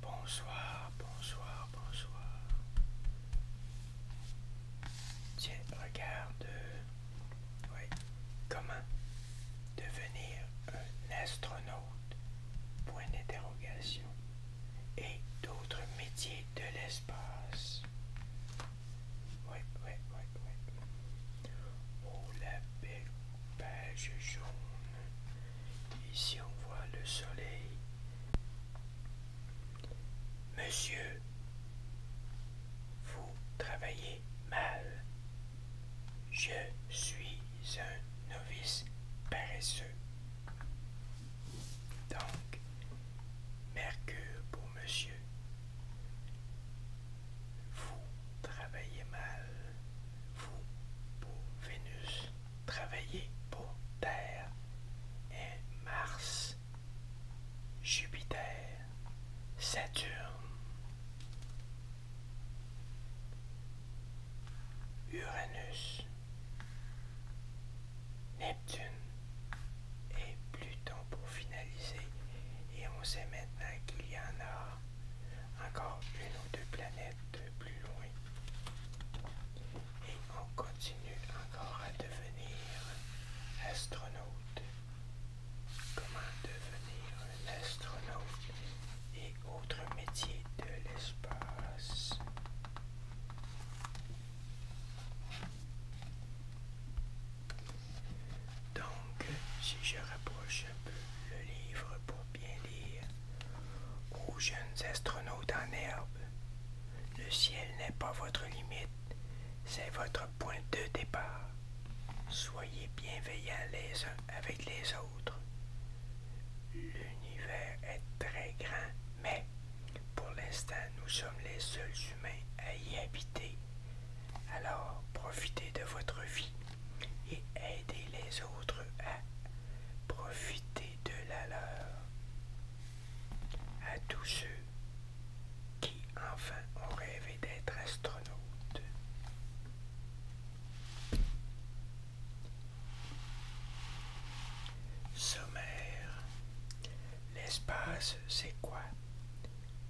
Bonsoir, bonsoir, bonsoir. Tiens, regarde. Oui. Comment devenir un astronaute? Point d'interrogation. Et d'autres métiers de l'espace. Oui, oui, oui, oui. Oh la belle page jaune. Ici on voit le soleil. Monsieur, vous travaillez mal. Je suis un novice paresseux. Donc, Mercure pour monsieur vous travaillez mal. Vous pour Vénus, travaillez pour Terre et Mars, Jupiter, Saturne, Uranus, Neptune et Pluton pour finaliser. Et on sait maintenant qu'il y en a encore une ou deux planètes plus loin. Et on continue encore à devenir astronaute. Comment devenir un astronaute et autres métiers de l'espace. Donc, si je rapproche le livre pour bien lire aux jeunes astronautes en herbe. Le ciel n'est pas votre limite, c'est votre point de départ. Soyez bienveillants les uns avec les autres. L'univers est très grand, mais pour l'instant, nous sommes les seuls humains à y habiter. Alors, profitez de votre vie et aider les autres à profiter de la leur. À tous ceux qui enfin ont rêvé d'être astronautes. Sommaire. L'espace, c'est quoi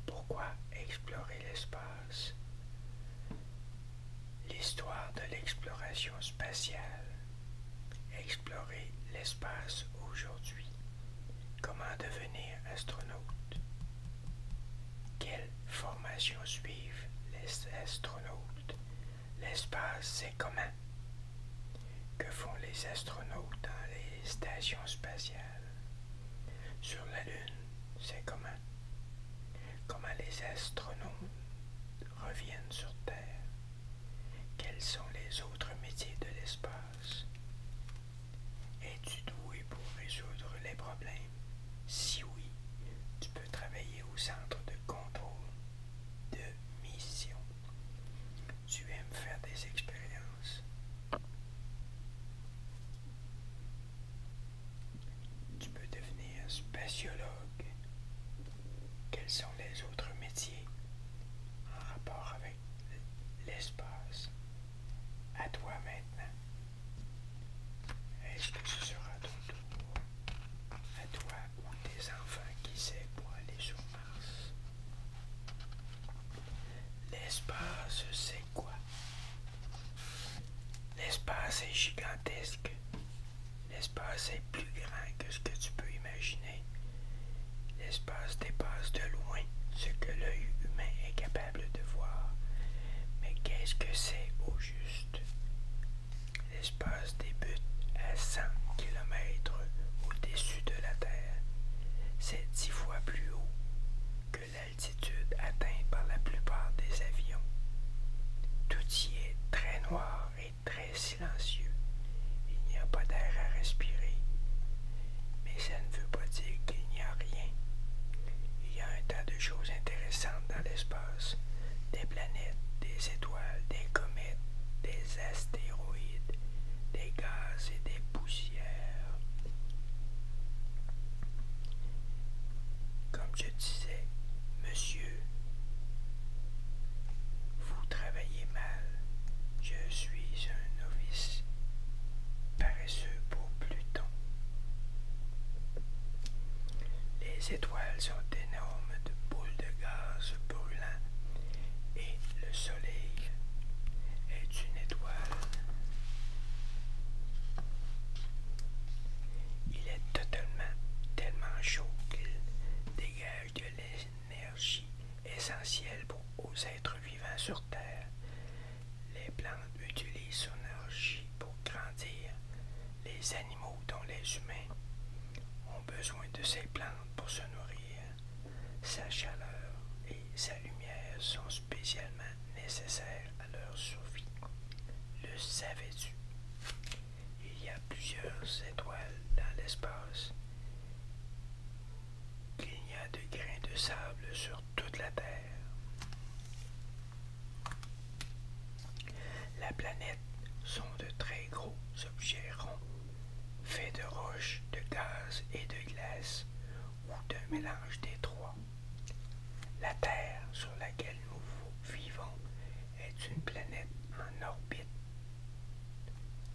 Pourquoi explorer l'espace L'histoire de l'exploration spatiale. Explorer l'espace aujourd'hui. Comment devenir astronaute. Quelle formation suivent les astronautes. L'espace, c'est commun. Que font les astronautes dans les stations spatiales. Sur la Lune, c'est commun. Comment les astronomes reviennent sur Terre? Quels sont les autres métiers de l'espace? Es-tu doué pour résoudre les problèmes? Si oui, tu peux travailler au centre de contrôle de mission. Tu aimes faire des expériences. Tu peux devenir spatiologue. Quels sont les autres métiers en rapport avec l'espace? À toi maintenant. Est-ce que ce sera ton À toi ou tes enfants qui sait pour aller sur Mars? L'espace, c'est quoi? L'espace est gigantesque. L'espace est plus grand que ce que tu peux imaginer. L'espace dépasse de loin ce que l'œil humain est capable de voir. Mais qu'est-ce que c'est au juste? L'espace débute à 100 km au-dessus de la Terre. C'est dix fois plus haut que l'altitude atteint par la plupart des avions. Tout y est très noir et très silencieux. Il n'y a pas d'air à respirer. Mais ça ne veut pas dire qu'il n'y a rien. Il y a un tas de choses intéressantes dans l'espace. Des planètes, des étoiles, des comètes, des astéroïdes, des gaz et des poussières. Comme je disais, monsieur, vous travaillez mal. Je suis un novice paresseux pour Pluton. Les étoiles sont énormes de boules de gaz brûlant et le soleil est une étoile. Il est totalement, tellement chaud qu'il dégage de l'énergie essentielle pour, aux êtres vivants sur Terre. Les plantes utilisent son énergie pour grandir. Les animaux, dont les humains, ont besoin de ces plantes pour se nourrir. Sa chaleur et sa lumière sont spécialement nécessaires leur survie. Le savais-tu? Il y a plusieurs étoiles dans l'espace. Il y a de grains de sable sur toute la Terre. La planète sont de très gros objets ronds, faits de roches, de gaz et de glace, ou d'un mélange des trois. La Terre sur laquelle nous vivant est une planète en orbite.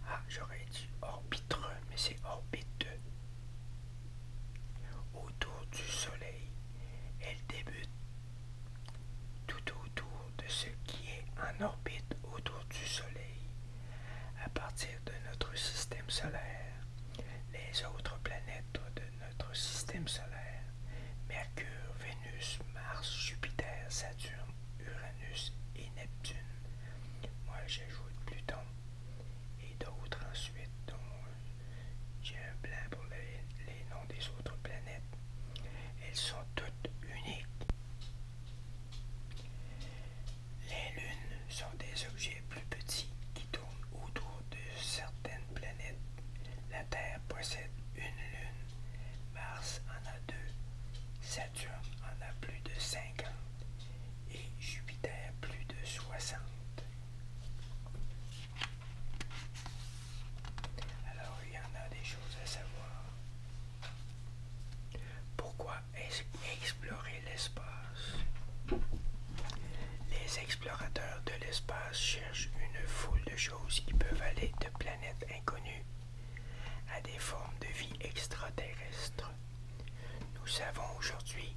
Ah, j'aurais dit orbitre, mais c'est orbite. Autour du Soleil, elle débute tout autour de ce qui est en orbite autour du Soleil. À partir de notre système solaire, les autres planètes de notre système solaire, Mercure, Vénus, Mars, Jupiter, Saturne, Uranus et Neptune. Moi, j'ajoute Pluton et d'autres ensuite, dont j'ai un blanc pour les, les noms des autres planètes. Elles sont toutes uniques. Les lunes sont des objets plus petits qui tournent autour de certaines planète. la Terre possède une lune, Mars en a deux, Saturne en a plus de 50 et Jupiter plus de 60. Alors il y en a des choses à savoir. Pourquoi explorer l'espace Les explorateurs de l'espace une foule de choses qui peuvent aller de planètes inconnues à des formes de vie extraterrestres. Nous savons aujourd'hui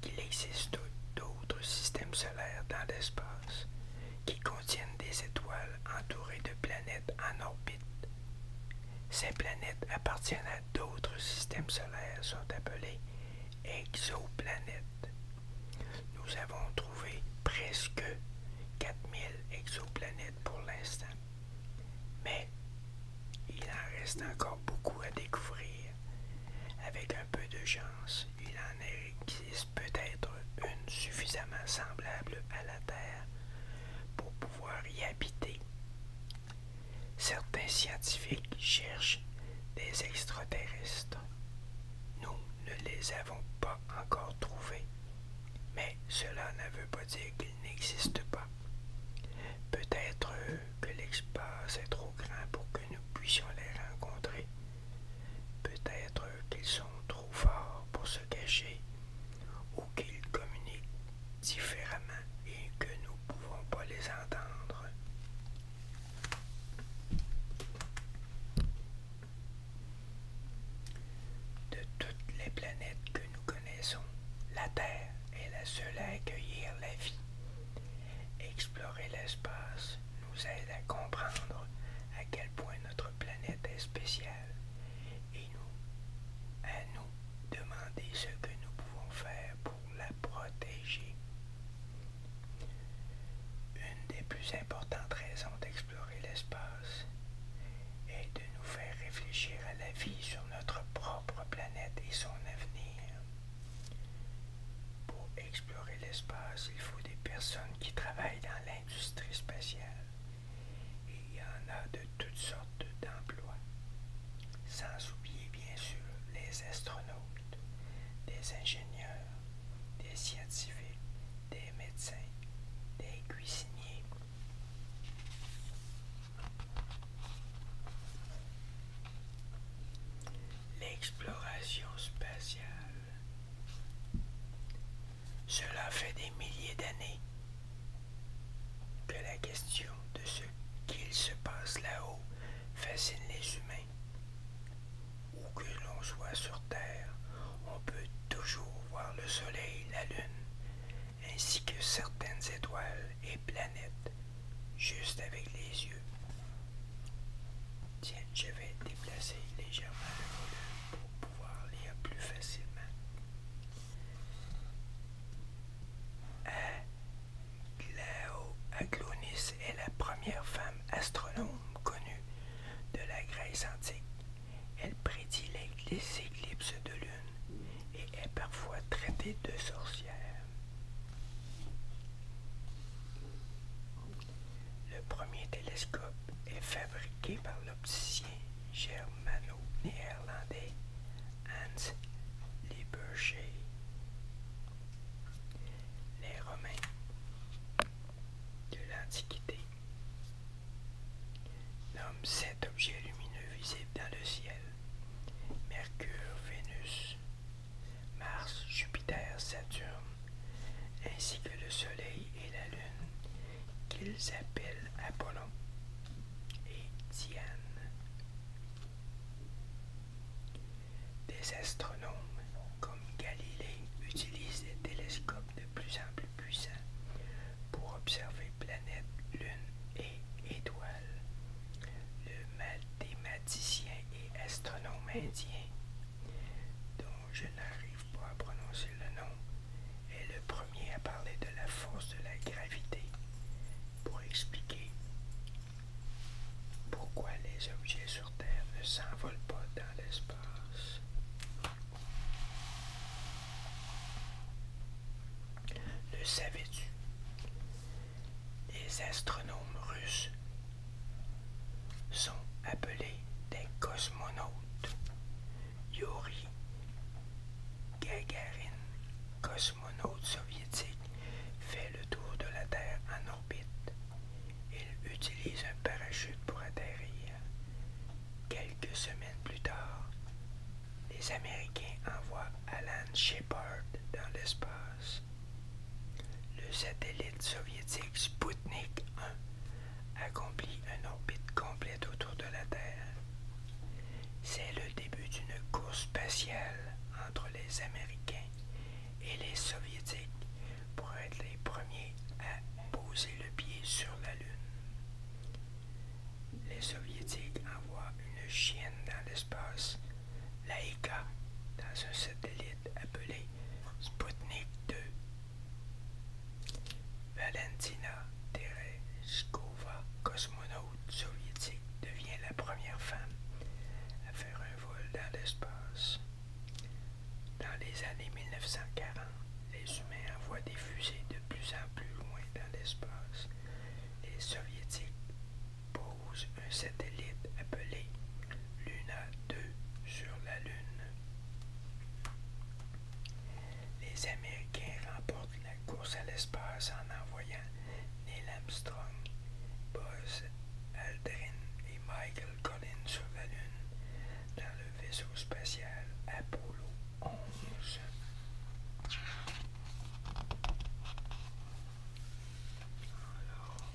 qu'il existe d'autres systèmes solaires dans l'espace qui contiennent des étoiles entourées de planètes en orbite. Ces planètes appartiennent à d'autres systèmes solaires, sont appelées exoplanètes. Nous avons trouvé presque 4000 exoplanètes pour l'instant, mais il en reste encore beaucoup à découvrir. Avec un peu de chance, il en existe peut-être une suffisamment semblable à la Terre pour pouvoir y habiter. Certains scientifiques cherchent des extraterrestres. Nous ne les avons pas encore trouvés, mais cela ne veut pas dire qu'ils n'existent pas. Peut-être euh, que l'espace est trop grand pour que nous puissions les rencontrer. Peut-être qu'ils sont trop forts pour se cacher ou qu'ils communiquent différemment et que nous ne pouvons pas les entendre. De toutes les planètes que nous connaissons, la Terre est la seule à accueillir la vie. Explorer l'espace nous aide à comprendre à quel point notre planète est spéciale et nous, à nous demander ce que nous pouvons faire pour la protéger. Une des plus importantes raisons d'explorer l'espace et de nous faire réfléchir à la vie sur notre propre planète et son avenir. Pour explorer l'espace, il faut des personnes qui travaillent dans l'industrie spatiale. Et il y en a de toutes sortes d'emplois. Sans oublier bien sûr les astronautes, des ingénieurs, des scientifiques, des des médecins, des cuisiniers. L'exploration spatiale. Cela fait des milliers d'années que la question de ce qu'il se passe là-haut fascine les humains où que l'on soit sur Terre, on peut toujours voir le Soleil, la Lune, ainsi que certaines étoiles et planètes, juste avec les yeux. Tiens, je vais déplacer légèrement le volume pour pouvoir lire plus facilement. Aglonis hein? est la première femme astronome connue de la Grèce antique. Elle prédit les éclipses de lune et est parfois traitée de sorcière. Le premier télescope est fabriqué par l'opticien germano-néerlandais Hans Lippershey. Les Romains de l'Antiquité Nomme sept objets lumineux visibles dans le ciel. Mercure, Vénus, Mars, Jupiter, Saturne, ainsi que le Soleil et la Lune, qu'ils appellent Apollon et Diane. Des astronomes comme Galilée, utilise des télescopes de plus en plus puissants pour observer planètes, lune et étoiles. Le mathématicien et astronome indien, dont je n'arrive pas à prononcer le nom, est le premier à parler de la force de la gravité pour expliquer pourquoi les objets sur Terre ne s'envolent pas dans l'espace. Le savais-tu? Les astronomes russes sont appelés des cosmonautes. Yuri Gagarin, cosmonaute soviétique, fait le tour de la Terre en orbite il utilise un parachute pour atterrir. Quelques semaines plus tard, les Américains envoient Alan Shepard dans l'espace. Le satellite soviétique Sputnik 1 accomplit une orbite complète autour de la Terre. C'est le début d'une course spatiale entre les Américains et les Soviétiques pour être les premiers à poser le pied sur la Lune. Les Soviétiques envoient une chienne dans l'espace, l'Aïka, dans un satellite appelé Sputnik 2. Valentina Tereshkova, cosmonaute soviétique, devient la première femme à faire un vol dans l'espace. Dans les années 1940, les humains envoient des fusées de plus en plus loin dans l'espace. Les soviétiques posent un satellite appelé Luna 2 sur la Lune. Les Américains remportent la course à l'espace en envoyant Neil Armstrong, Buzz Aldrin et Michael Collins sur la Lune dans le vaisseau spatial Apollo 11. Alors, on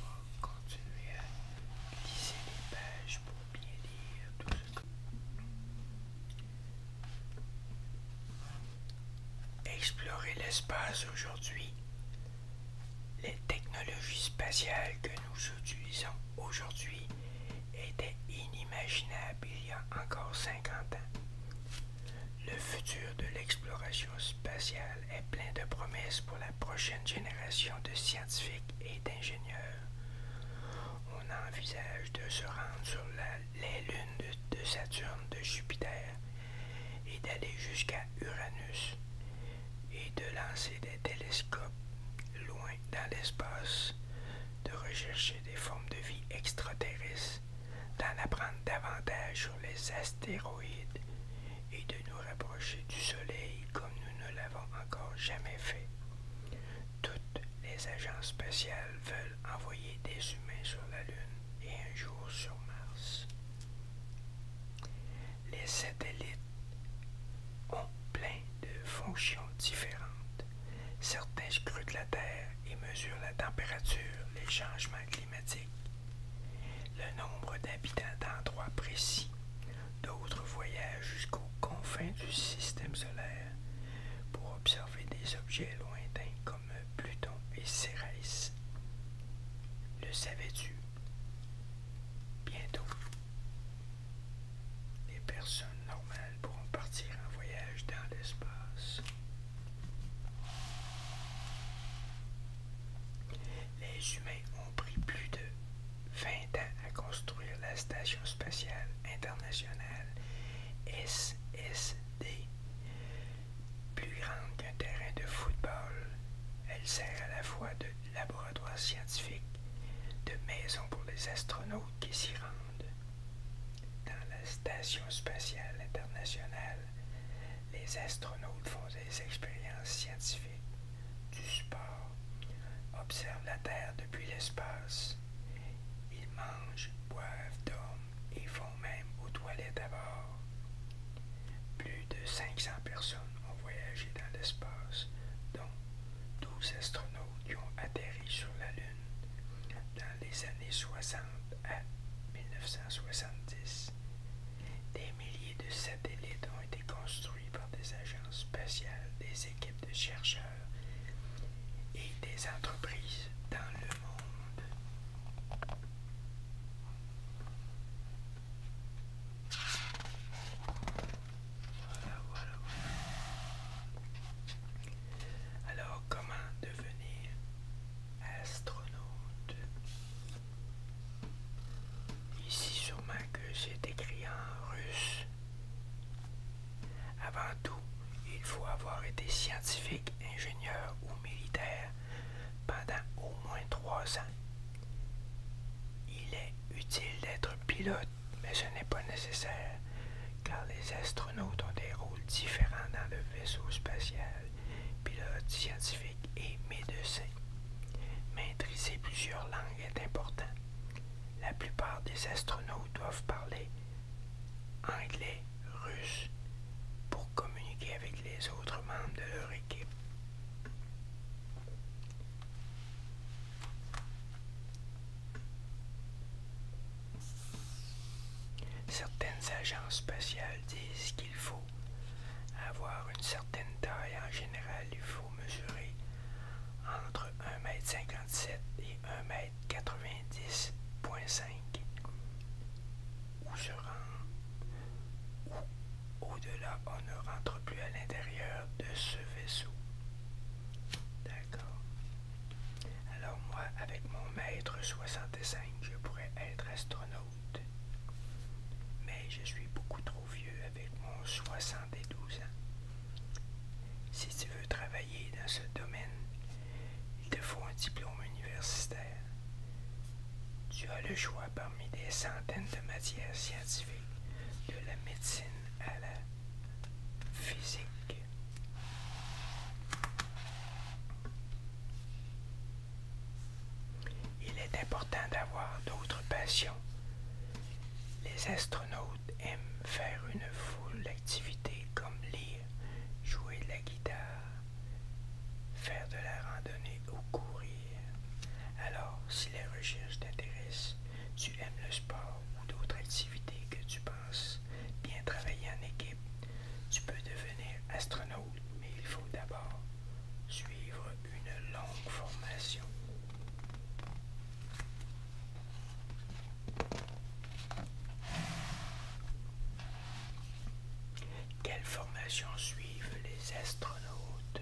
va continuer à glisser les pages pour bien lire tout ce Explorer l'espace aujourd'hui. Les technologies spatiales que nous utilisons aujourd'hui était inimaginable il y a encore 50 ans. Le futur de l'exploration spatiale est plein de promesses pour la prochaine génération de scientifiques et d'ingénieurs. On envisage de se rendre sur les lunes de Saturne, de Jupiter et d'aller jusqu'à Uranus et de lancer des télescopes loin dans l'espace, de rechercher des formes de vie extraterrestres, d'en apprendre davantage sur les astéroïdes et de nous rapprocher du Soleil comme nous ne l'avons encore jamais fait. Toutes les agences spéciales veulent envoyer des humains sur la Lune et un jour sur Mars. Les satellites ont plein de fonctions différentes. Certains scrutent la Terre et mesurent la température, les changements climatiques, le nombre d'habitants d'endroits précis. D'autres voyagent jusqu'aux confins du système solaire pour observer des objets lointains comme Pluton et Cérès. Le savais-tu? Bientôt. Les personnes normales pourront partir en voyage dans l'espace. Les humains ont pris plus de 20 ans à construire la Station spatiale internationale SSD, plus grande qu'un terrain de football. Elle sert à la fois de laboratoires scientifiques, de maisons pour les astronautes qui s'y rendent. Dans la Station spatiale internationale, les astronautes font des expériences scientifiques, du sport, observent la Terre depuis l'espace. Ils mangent, boivent, dorment et font même aux toilettes à bord. Plus de 500 personnes ont voyagé dans l'espace, dont astronautes qui ont atterri sur la Lune dans les années 60 à 1970. Des milliers de satellites ont été construits par des agences spatiales, des équipes de chercheurs et des entreprises dans le monde. Alors, comment devenir astronaute? Ici, sûrement que c'est écrit en russe. Avant tout, il faut avoir été scientifique, ingénieur ou militaire pendant au moins trois ans. Il est utile d'être pilote mais ce n'est pas nécessaire, car les astronautes ont des rôles différents dans le vaisseau spatial, pilotes scientifiques et médecins. Maîtriser plusieurs langues est important. La plupart des astronautes doivent parler anglais, russe, pour communiquer avec les autres membres de leur équipe. Certaines agences spatiales disent qu'il faut avoir une certaine taille. En général, il faut mesurer entre 1 m et 1 m ou se ou au-delà, on ne rentre plus à l'intérieur de ce vaisseau. Alors moi, avec mon maître 65, je pourrais être astronaute. Mais je suis beaucoup trop vieux avec mon 72 ans. Si tu veux travailler dans ce domaine, il te faut un diplôme universitaire. Tu as le choix parmi des centaines de matières scientifiques, de la médecine à la physique. Il est important d'avoir d'autres passions. Les astronautes aiment faire une foule d'activités comme lire, jouer de la guitare, faire de la randonnée ou courir. Alors, si les recherches t'intéressent, tu aimes le sport ou d'autres activités que tu penses bien travailler en équipe. Tu peux devenir astronaute, mais il faut d'abord suivre une longue formation. Quelle formation suivent les astronautes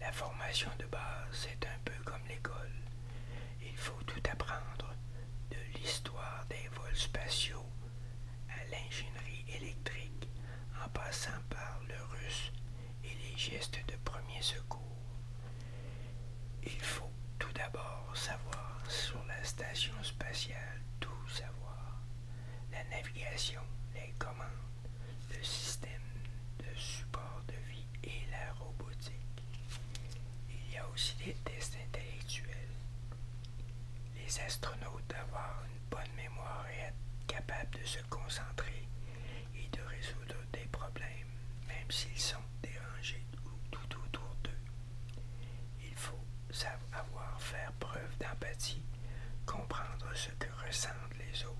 La formation de base est un peu comme l'école. Il faut tout apprendre, de l'histoire des vols spatiaux à l'ingénierie électrique, en passant par le russe et les gestes de premier secours. Il faut tout d'abord savoir sur la station spatiale tout savoir, la navigation, les commandes, le système de support de vie et la robotique. Il y a aussi des tests intellectuels. Les astronautes doivent avoir une bonne mémoire et être capables de se concentrer et de résoudre des problèmes, même s'ils sont dérangés ou tout autour d'eux. Il faut savoir faire preuve d'empathie, comprendre ce que ressentent les autres,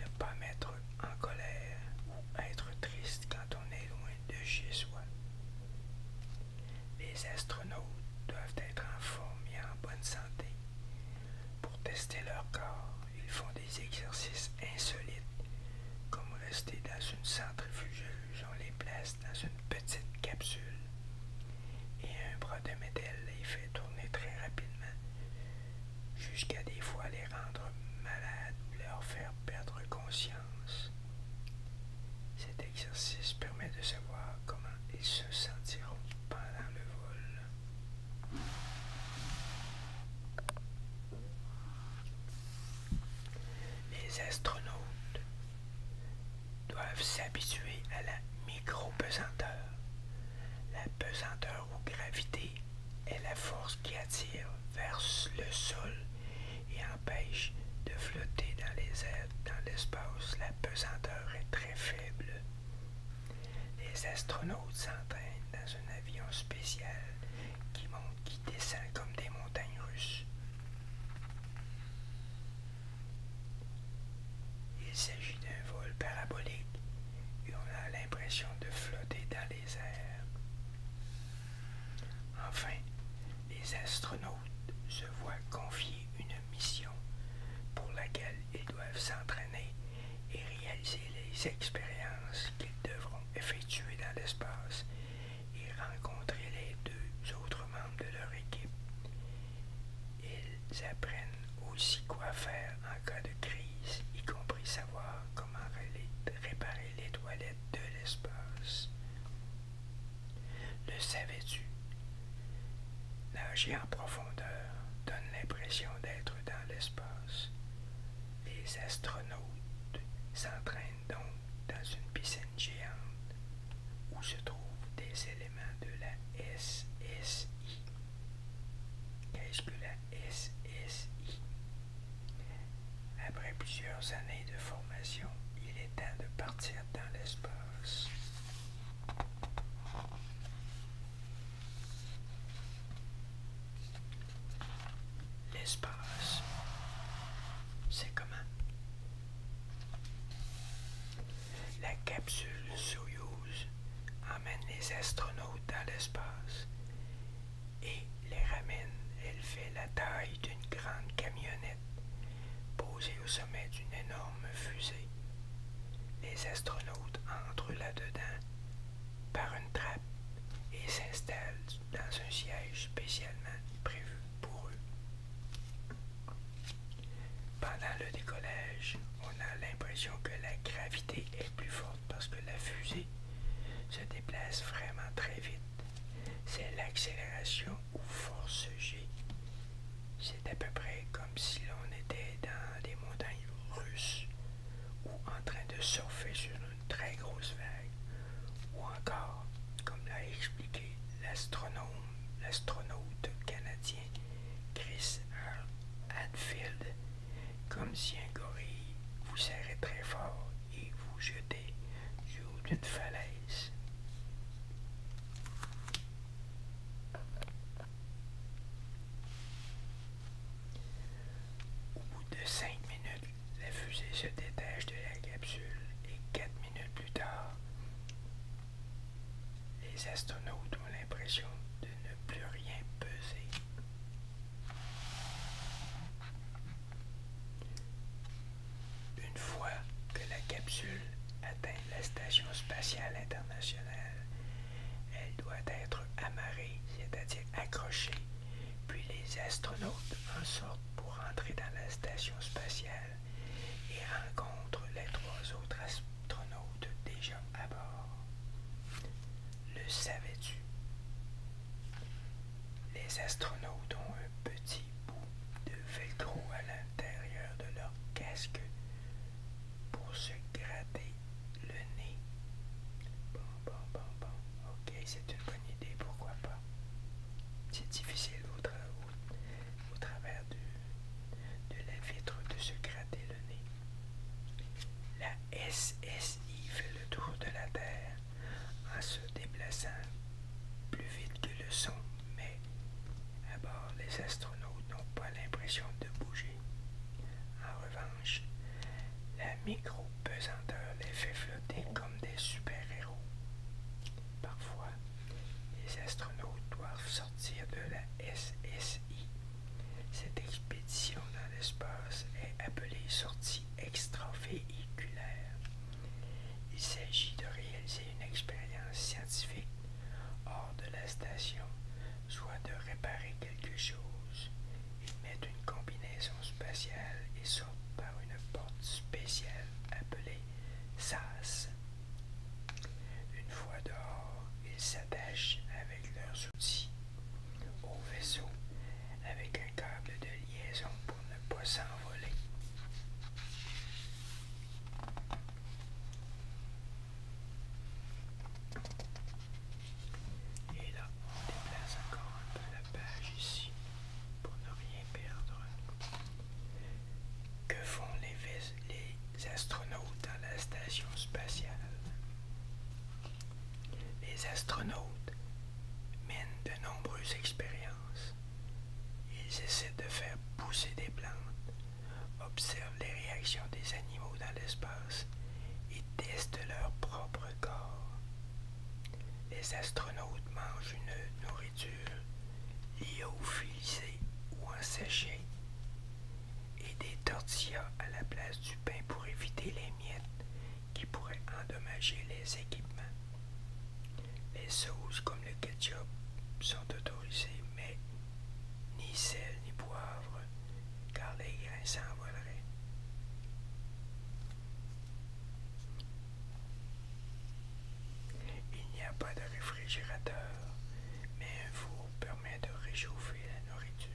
ne pas mettre en colère ou être triste quand on est loin de chez soi. Les astronautes doivent être en forme et en bonne santé. Pour tester leur corps, ils font des exercices insolites, comme rester dans une centrifugeuse, on les place dans une petite capsule et un bras de métal les fait tourner très rapidement, jusqu'à des fois les rendre malades, leur faire perdre conscience. Cet exercice permet de savoir comment ils se sentiront pendant le vol. Les astronautes doivent s'habituer à la micro-pesanteur. La pesanteur ou gravité est la force qui attire vers le sol et empêche de flotter dans les airs, dans l'espace. La pesanteur est très faible. Les astronautes s'entraînent dans un avion spécial qui monte, qui descend comme des montagnes russes. Il s'agit d'un vol parabolique et on a l'impression de flotter dans les airs. Enfin, les astronautes se voient confier une mission pour laquelle ils doivent s'entraîner et réaliser les expériences qu'ils devront effectuer dans l'espace et rencontrer les deux autres membres de leur équipe. Ils apprennent aussi quoi faire en cas de crise, y compris savoir comment réparer les toilettes de l'espace. Le savais-tu? Nager en profondeur donne l'impression d'être dans l'espace. Les astronautes s'entraînent donc dans une piscine géante où se trouvent des éléments de la SSI. Qu'est-ce que la SSI? Après plusieurs années de formation, il est temps de partir dans l'espace. L'espace, c'est comment La capsule Soyuz emmène les astronautes dans l'espace et les ramène. Elle fait la taille d'une grande camionnette posée au sommet d'une énorme fusée. Les astronautes entrent là-dedans par une trappe et s'installent dans un siège spécialement prévu pour eux. Pendant le décollage, on a l'impression que la gravité est plus forte parce que la fusée se déplace vraiment très vite c'est l'accélération ou force G. C'est à peu près comme si l'on était dans des montagnes russes ou en train de surfer sur une très grosse vague, ou encore, comme l'a expliqué l'astronome, l'astronaute canadien Chris Hadfield, comme si un gorille vous serrait très fort et vous jetez du d'une falaise. Au bout de cinq minutes, la fusée se détache de la capsule et quatre minutes plus tard, les astronautes ont l'impression de ne plus rien peser. Une fois que la capsule atteint la Station spatiale internationale, elle doit être amarrée, c'est-à-dire accrochée, puis les astronautes en sortent pour entrer dans la Station spatiale et rencontrent les trois autres astronautes déjà à bord. Le savais-tu les astronautes ont un petit bout de velcro à l'intérieur de leur casque pour se gratter le nez. Bon, bon, bon, bon. Ok, c'est une bonne idée, pourquoi pas. C'est difficile au, travers de la vitre de se gratter le nez. La SSI fait le tour de la Terre en se déplaçant plus vite que le son, mais à les astronautes n'ont pas l'impression de bouger. En revanche, la micro-pesanteur les fait flotter comme des super-héros. Parfois, les astronautes doivent sortir de la SSI. Cette expédition dans l'espace est appelée sortie extra extravéhiculaire. Il s'agit de réaliser une expérience scientifique hors de la station, soit de réparer quelque chose. Ils mettent une combinaison spatiale et sortent par une porte spéciale appelée SAS. Une fois dehors, ils s'attachent avec leurs outils au vaisseau avec un câble de liaison pour ne pas s'envoler. Et là, on déplace encore un peu la page ici pour ne rien perdre. Que font les, les astronautes à la station spatiale Les astronautes mènent de nombreuses expériences. Ils essaient de faire pousser des plantes, observent les réactions des animaux dans l'espace et testent leur propre corps. Les astronautes mangent une nourriture au lyophilisée ou en sachet et des tortillas à la place du pain pour éviter les miettes qui pourrait endommager les équipements. Les sauces comme le ketchup sont autorisées, mais ni sel ni poivre, car les grains s'envoleraient. Il n'y a pas de réfrigérateur, mais un four permet de réchauffer la nourriture.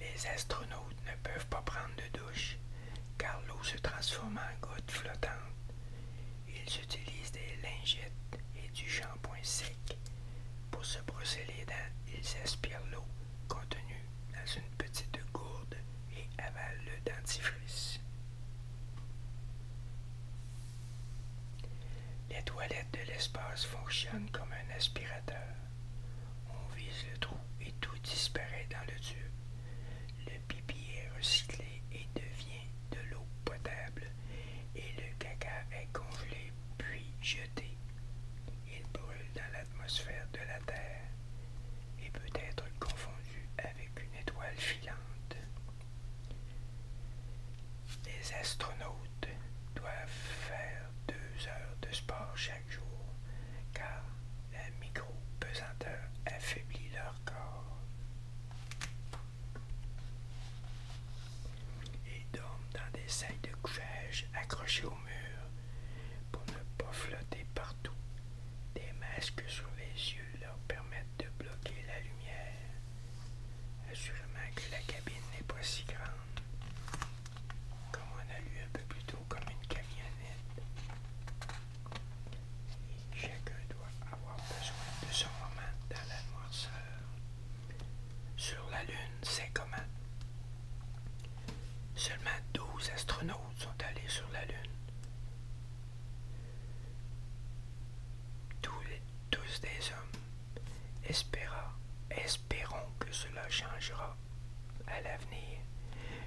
Les astronautes ne peuvent pas prendre de douche car l'eau se transforme en gouttes flottante. Ils utilisent des lingettes et du shampoing sec. Pour se brosser les dents, ils aspirent l'eau contenue dans une petite gourde et avalent le dentifrice. Les toilettes de l'espace fonctionnent comme un aspirateur. On vise le trou et tout disparaît dans le tube. Le pipi est recyclé et devient de l'eau potable et le caca est congelé puis jeté. Il brûle dans l'atmosphère de la Terre et peut être confondu avec une étoile filante. Les astronautes doivent faire deux heures de sport chaque jour car la micro-pesanteur affaiblit leur corps. Ils dorment dans des sacs de couchage accrochés au mur pour ne pas flotter partout. Des masques sur les yeux leur permettent de bloquer la lumière. Assurément euh, que la cabine n'est pas si grande comme on a eu un peu plus tôt comme une camionnette. Et chacun doit avoir besoin de son moment dans la noirceur. Sur la Lune, c'est comment? Seulement 12 astronautes sont allés sur la Lune. Tous, les, tous des hommes espérons que cela changera à l'avenir.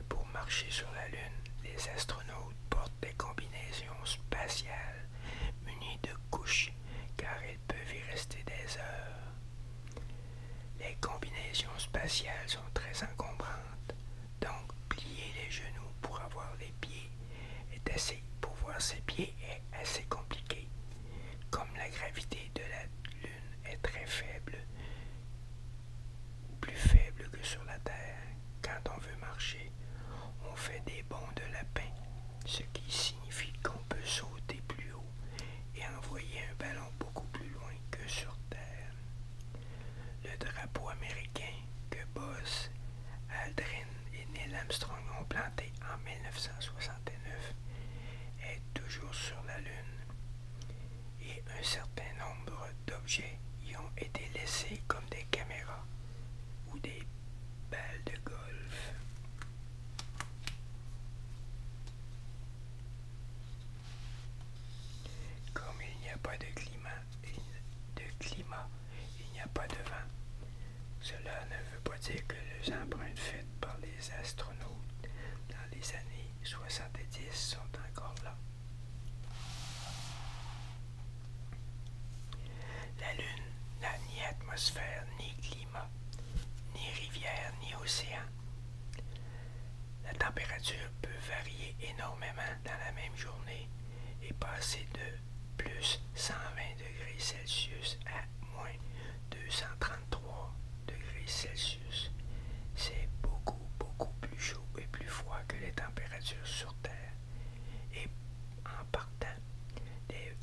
Pour marcher sur la Lune, les astronautes portent des combinaisons spatiales munies de couches car ils peuvent y rester des heures. Les combinaisons spatiales sont très encombrantes, donc plier les genoux pour avoir les pieds est assez pour voir ses pieds assez compliqué. Comme la gravité de la Lune est très faible, plus faible que sur la Terre, quand on veut marcher, on fait des bonds de lapin, ce qui signifie qu'on peut sauter plus haut et envoyer un ballon beaucoup plus loin que sur Terre. Le drapeau américain que bosse Aldrin et Neil Armstrong ont planté en 1969 est toujours sur la Lune et un certain nombre d'objets y ont été laissés comme des caméras ou des balles de golf. Comme il n'y a pas de climat, de climat il n'y a pas de vent. Cela ne veut pas dire que les empreintes faites par les astronautes dans les années 70 sont encore là. La Lune n'a ni atmosphère, ni climat, ni rivière, ni océan. La température peut varier énormément dans la même journée et passer de plus 120 degrés Celsius à moins 233 degrés Celsius. C'est beaucoup, beaucoup plus chaud et plus froid que les températures sur Terre. Et en partant,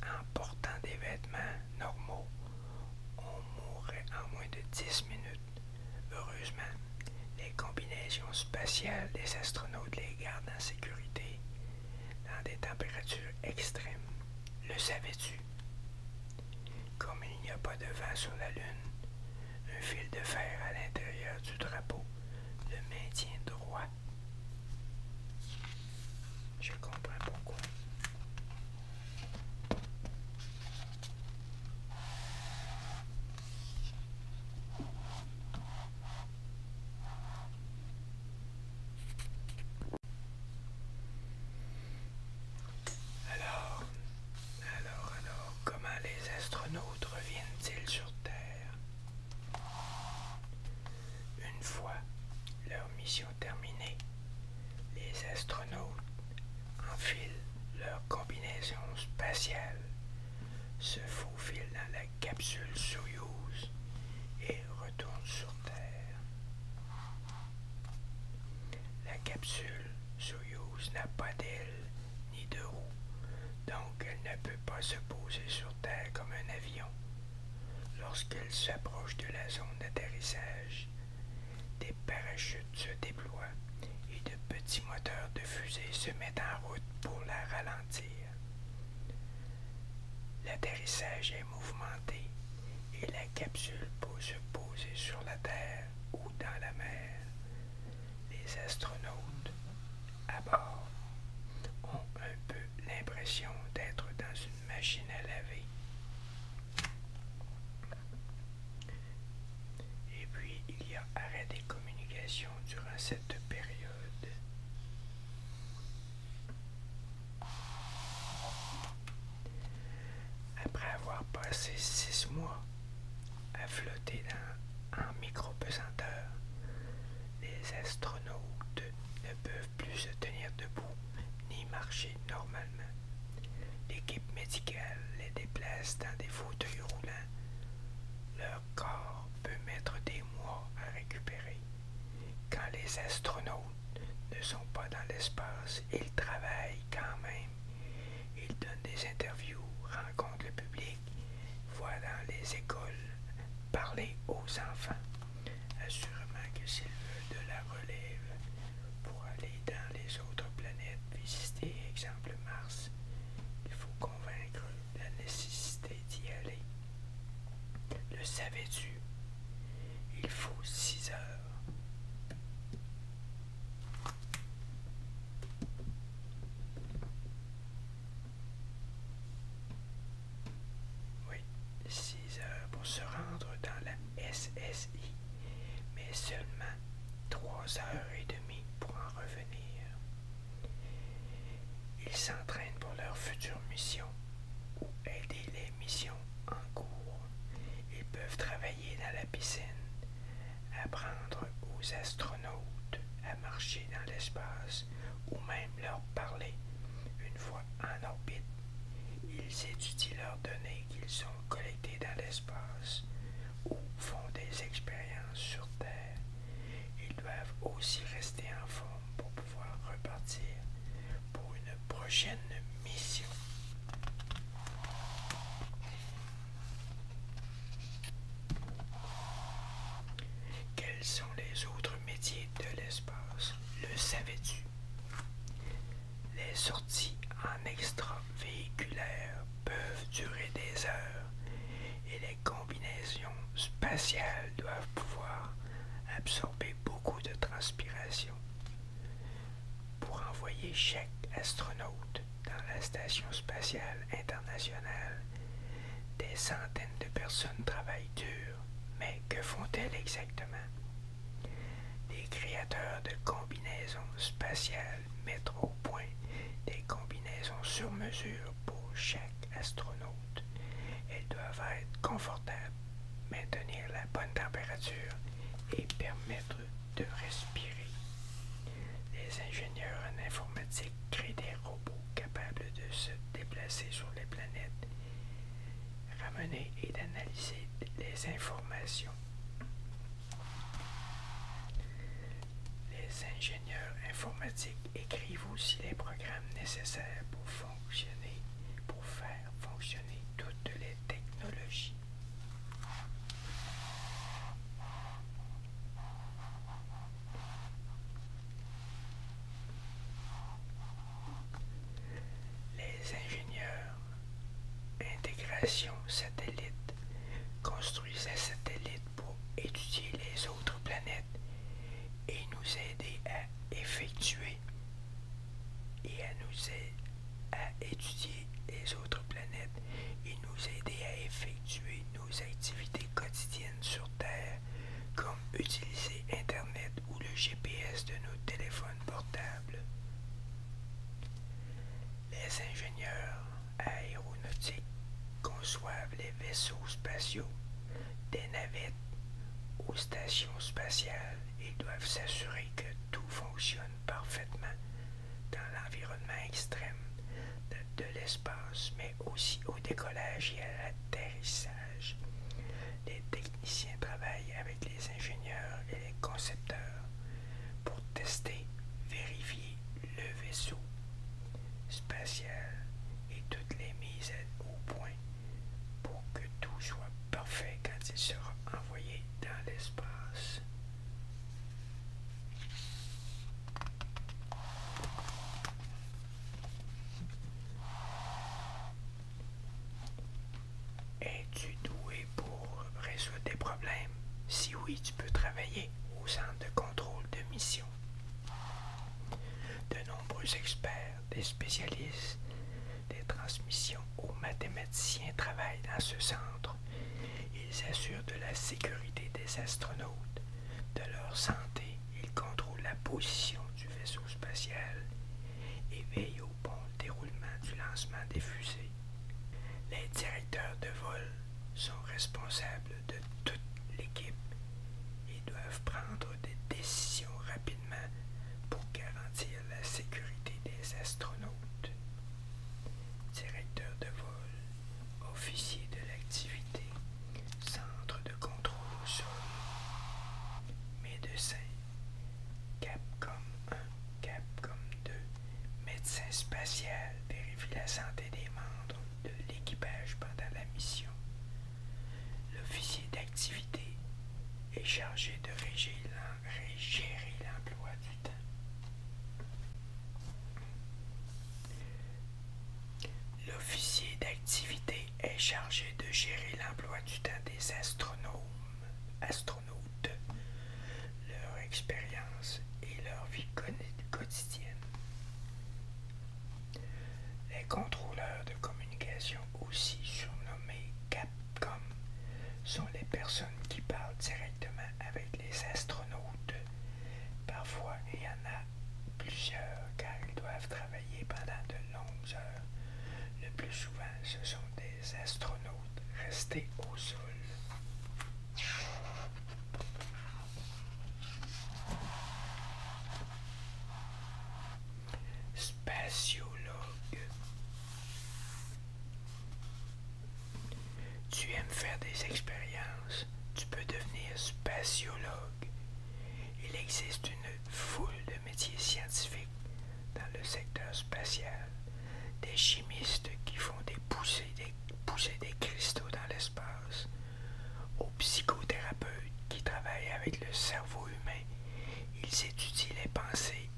en portant des vêtements normaux, on mourrait en moins de 10 minutes. Heureusement, les combinaisons spatiales des astronautes les gardent en sécurité dans des températures extrêmes. Le savais-tu? Comme il n'y a pas de vent sur la Lune, un fil de fer à l'intérieur du drapeau le maintient droit. Je comprends pourquoi. Alors, alors, alors, comment les astronautes reviennent-ils sur Terre Une fois leur mission terminée, les astronautes enfilent leur combinaison spatiale, se faufilent dans la capsule Soyuz et retourne sur Terre. La capsule Soyuz n'a pas d'aile ni de roues, donc elle ne peut pas se poser sur Terre comme un avion. Lorsqu'elle s'approche de la zone d'atterrissage, des parachutes se déploient et de petits moteurs de fusée se mettent en route pour la ralentir. L'atterrissage est mouvementé et la capsule peut se poser sur la Terre ou dans la mer. Les astronautes à bord ont un peu l'impression d'être dans une machine à laver. Et puis, il y a arrêt des communications durant cette période. Après avoir passé six mois à flotter dans, en micro-pesanteur, les astronautes ne peuvent plus se tenir debout ni marcher normalement. L'équipe médicale les déplace dans des fauteuils roulants. Leur corps peut mettre des mois à récupérer. Quand les astronautes ne sont pas dans l'espace, ils travaillent quand même. Ils donnent des interviews, rencontrent le public, voient dans les écoles, parler aux enfants. Assurément que s'ils veulent de la relève pour aller dans les autres planètes, visiter, exemple Mars, il faut convaincre la nécessité d'y aller. Le savais-tu? Il faut six heures. Oui, six heures pour se rendre dans la SSI, mais seulement trois heures et demie pour en revenir. Ils s'entraînent pour leurs futures missions ou aider les missions en cours. Ils peuvent travailler dans la piscine, apprendre aux astronautes à marcher dans l'espace ou même leur parler une fois en orbite. Ils étudient leurs données qu'ils ont collectées dans l'espace ou font des expériences sur Terre. Ils doivent aussi rester en forme pour repartir pour une prochaine mission. Quels sont les autres métiers de l'espace Le savais-tu Les sorties en extra-véhiculaire peuvent durer des heures et les combinaisons spatiales doivent pouvoir absorber beaucoup de transpiration pour envoyer chaque astronaute dans la Station spatiale internationale. Des centaines de personnes travaillent dur, mais que font-elles exactement Des créateurs de combinaisons spatiales mettent au point des combinaisons sur mesure pour chaque astronaute. Elles doivent être confortables, maintenir la bonne température et permettre de respirer. Les ingénieurs en informatique créent des robots capables de se déplacer sur les planètes, ramener et d'analyser les informations. Les ingénieurs informatiques écrivent aussi les programmes nécessaires pour fonctionner, pour faire fonctionner toutes les technologies. Les ingénieurs intégration satellite construisaient satellites pour étudier les autres planètes et nous aider à effectuer et à nous aider à étudier les autres planètes et nous aider à effectuer nos activités quotidiennes sur Terre, comme utiliser Internet ou le GPS de nos téléphones portables. Les ingénieurs aéronautiques conçoivent les vaisseaux spatiaux, des navettes aux stations spatiales et doivent s'assurer que tout fonctionne parfaitement dans l'environnement extrême de, de l'espace, mais aussi au décollage et à l'atterrissage. Les techniciens travaillent avec les ingénieurs et les concepteurs pour tester, vérifier le vaisseau spatial et toutes les mises au point pour que tout soit parfait quand il sera envoyé dans l'espace. Es-tu doué pour résoudre des problèmes? Si oui, tu peux travailler au centre de contrôle de mission. De nombreux experts, des spécialistes, des transmissions aux mathématiciens travaillent dans ce centre. Ils assurent de la sécurité des astronautes, de leur santé, ils contrôlent la position du vaisseau spatial et veillent au bon déroulement du lancement des fusées. Les directeurs de vol sont responsables de toute l'équipe et doivent prendre des décisions rapides pour garantir la sécurité des astronautes. Directeur de vol, officier de l'activité, centre de contrôle au sol, médecin, Capcom 1, Capcom 2, médecin spatial vérifie la santé des membres de l'équipage pendant la mission, L'officier d'activité est chargé de régir l'emploi du temps. L'officier d'activité est chargé de gérer l'emploi du temps des astronomes, astronautes, leur expérience et leur vie quotidienne. Les contrôleurs de communication communication, aussi surnommée CAPCOM, sont les personnes qui parlent directement avec les astronautes. Parfois, il y en a plusieurs car ils doivent travailler pendant de longues heures. Le plus souvent, ce sont des astronautes restés au sol. Spatiologue. Tu aimes faire des expériences, tu peux devenir spatiologue. Il existe une foule de métiers scientifiques dans le secteur spatial. Des chimistes qui font des des, poussées des cristaux dans l'espace, aux psychothérapeutes qui travaillent avec le cerveau humain ils étudient les pensées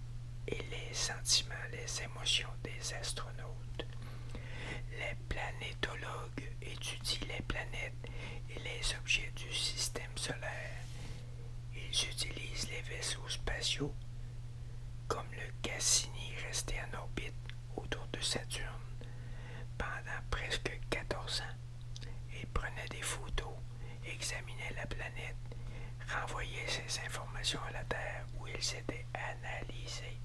et les sentiments, les émotions des astronautes. Les planétologues étudient les planètes et les objets du système solaire. Ils utilisent les vaisseaux spatiaux comme le Cassini resté en orbite autour de Saturne pendant presque 14 ans. Ils prenait des photos, examinait la planète, renvoyait ces informations à la Terre où il s'était analysé.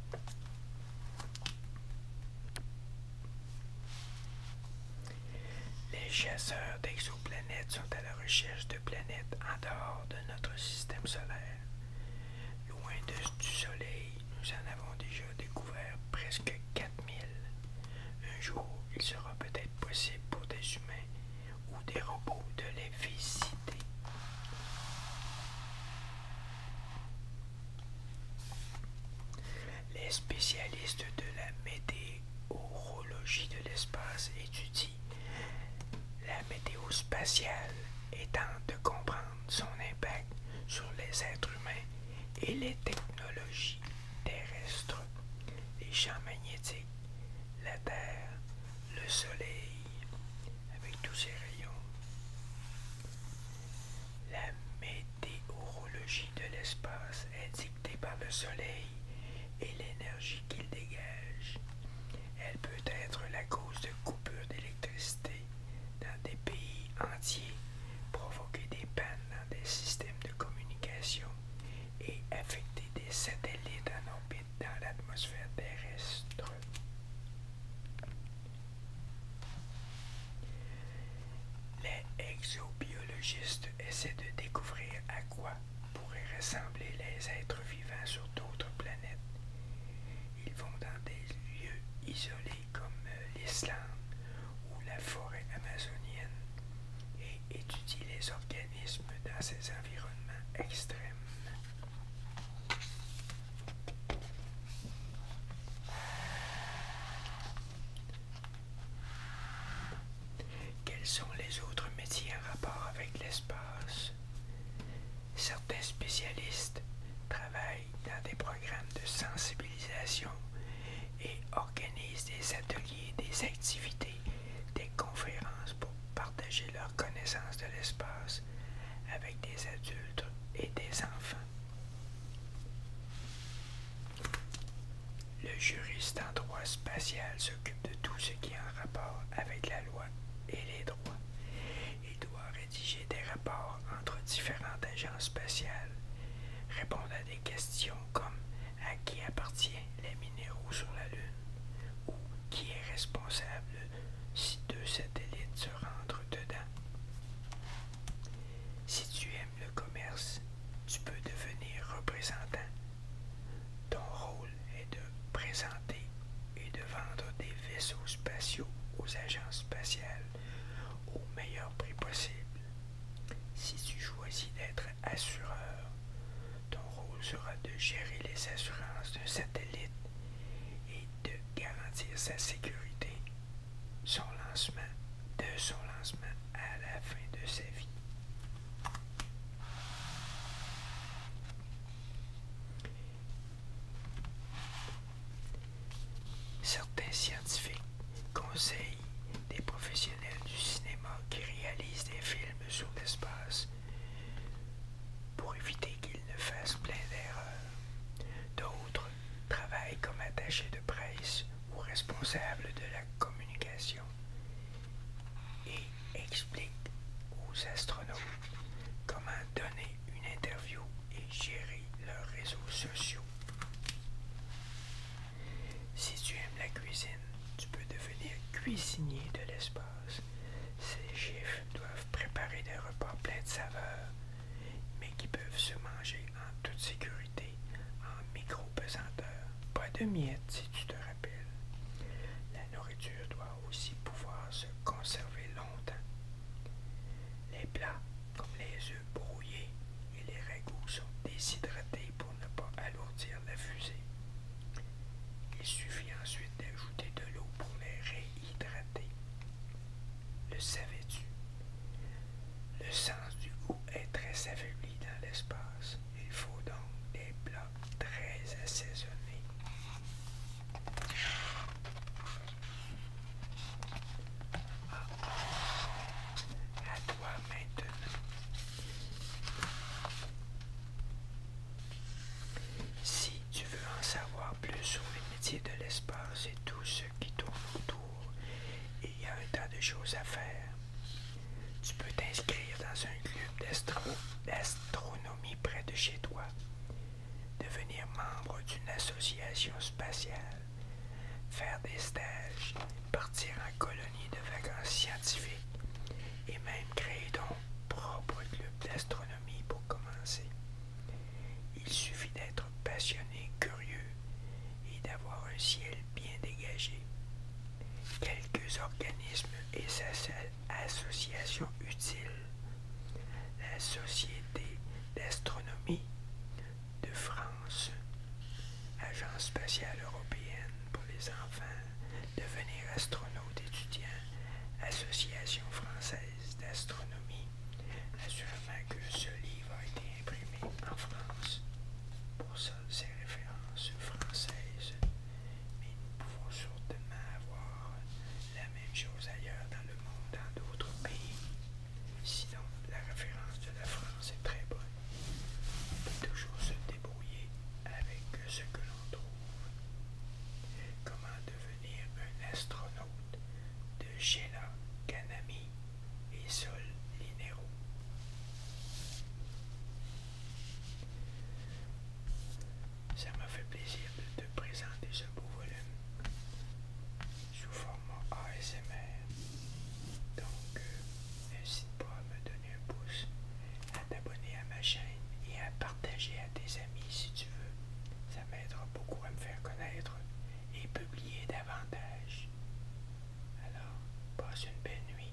Les chasseurs d'exoplanètes sont à la recherche de planètes en dehors de notre système solaire. Loin du Soleil, nous en avons déjà découvert presque 4000. Un jour, il sera peut-être possible pour des humains ou des robots de les visiter. Les spécialistes de la météorologie de l'espace étudient la météo spatiale et tentent de comprendre son impact sur les êtres humains et les technologies terrestres. Les champs magnétiques la terre, le soleil avec tous ses rayons. La météorologie de l'espace est dictée par le soleil et l'énergie qu'il dégage. Elle peut être la cause de coupures d'électricité dans des pays entiers, provoquer des pannes dans des systèmes de communication et affecter des satellites en orbite dans l'atmosphère terrestre. Les exobiologistes essaient de découvrir à quoi pourraient ressembler les êtres vivants sur d'autres planètes. Ils vont dans des lieux isolés comme euh, l'Islande ou la forêt amazonienne étudie les organismes dans ces environnements extrêmes. Quels sont les autres métiers en rapport avec l'espace? Certains spécialistes travaillent dans des programmes de sensibilisation et organisent des ateliers, des activités des, conférences pour partager leur connaissance de l'espace avec des adultes et des enfants. Le juriste en droit spatial s'occupe de tout ce qui est en rapport avec la loi et les droits. Il doit rédiger des rapports entre différentes agences spatiales, répondre à des questions comme à qui appartient les minéraux sur la Lune ou qui est responsable si deux satellites se rentrent dedans. Si tu aimes le commerce, tu peux devenir représentant. Ton rôle est de présenter et de vendre des vaisseaux spatiaux aux agences spatiales au meilleur prix possible. Si tu choisis d'être assureur. Ton rôle sera de gérer les assurances d'un satellite et de garantir sa sécurité, son lancement, de son lancement à la fin de sa vie. Certains scientifiques conseillent des professionnels du cinéma qui réalise des films sur l'espace pour éviter qu'ils ne fassent plein d'erreurs. D'autres travaillent comme attachés de presse ou responsables de la communication et expliquent aux astronautes comment donner une interview et gérer leurs réseaux sociaux. Si tu aimes la cuisine, tu peux devenir cuisinier de l'espace. Ces chiffres doivent préparer des repas pleins de saveurs, mais qui peuvent se manger en toute sécurité, en micro-pesanteur. Pas de miettes si tu te rappelles. La nourriture doit aussi pouvoir se conserver longtemps. Les plats, comme les œufs brouillés et les ragoûts, sont déshydratés pour ne pas alourdir la fusée. Il suffit ensuite d'ajouter de l'eau pour les réhydrater. Le savais-tu? Le sens du goût est très affaibli dans l'espace. Il faut donc des plats très assaisonnés. Ah. à toi maintenant. Si tu veux en savoir plus sur les métiers de l'espace et tout ce qui tourne autour, il y a un tas de choses à faire. Tu peux t'inscrire dans un club d'astronomie près de chez toi, devenir membre d'une association spatiale, faire des stages, partir en colonie de vacances scientifiques et même créer ton propre club d'astronomie pour commencer. Il suffit d'être passionné, curieux et d'avoir un ciel bien dégagé. Quelques organismes et associations utiles. La Société d'astronomie de France, Agence spatiale européenne pour les enfants, devenir astronaute étudiant, Association française d'astronomie. Assurément que ce livre a été imprimé en France. Pour ça, ces références françaises. Mais nous pouvons sûrement avoir la même chose ailleurs dans le monde, dans d'autres pays. Sinon, la référence de la France est très bonne. On peut toujours se débrouiller avec ce que l'on trouve. Comment devenir un astronaute de Gela, Kanami et Sol Linero. Ça m'a fait plaisir de te présenter ce beau volume sous format ASMR. Donc, euh, n'hésite pas à me donner un pouce, à t'abonner à ma chaîne et à partager à tes amis si tu veux. Ça m'aidera beaucoup à me faire connaître et publier davantage. Alors, passe une belle nuit.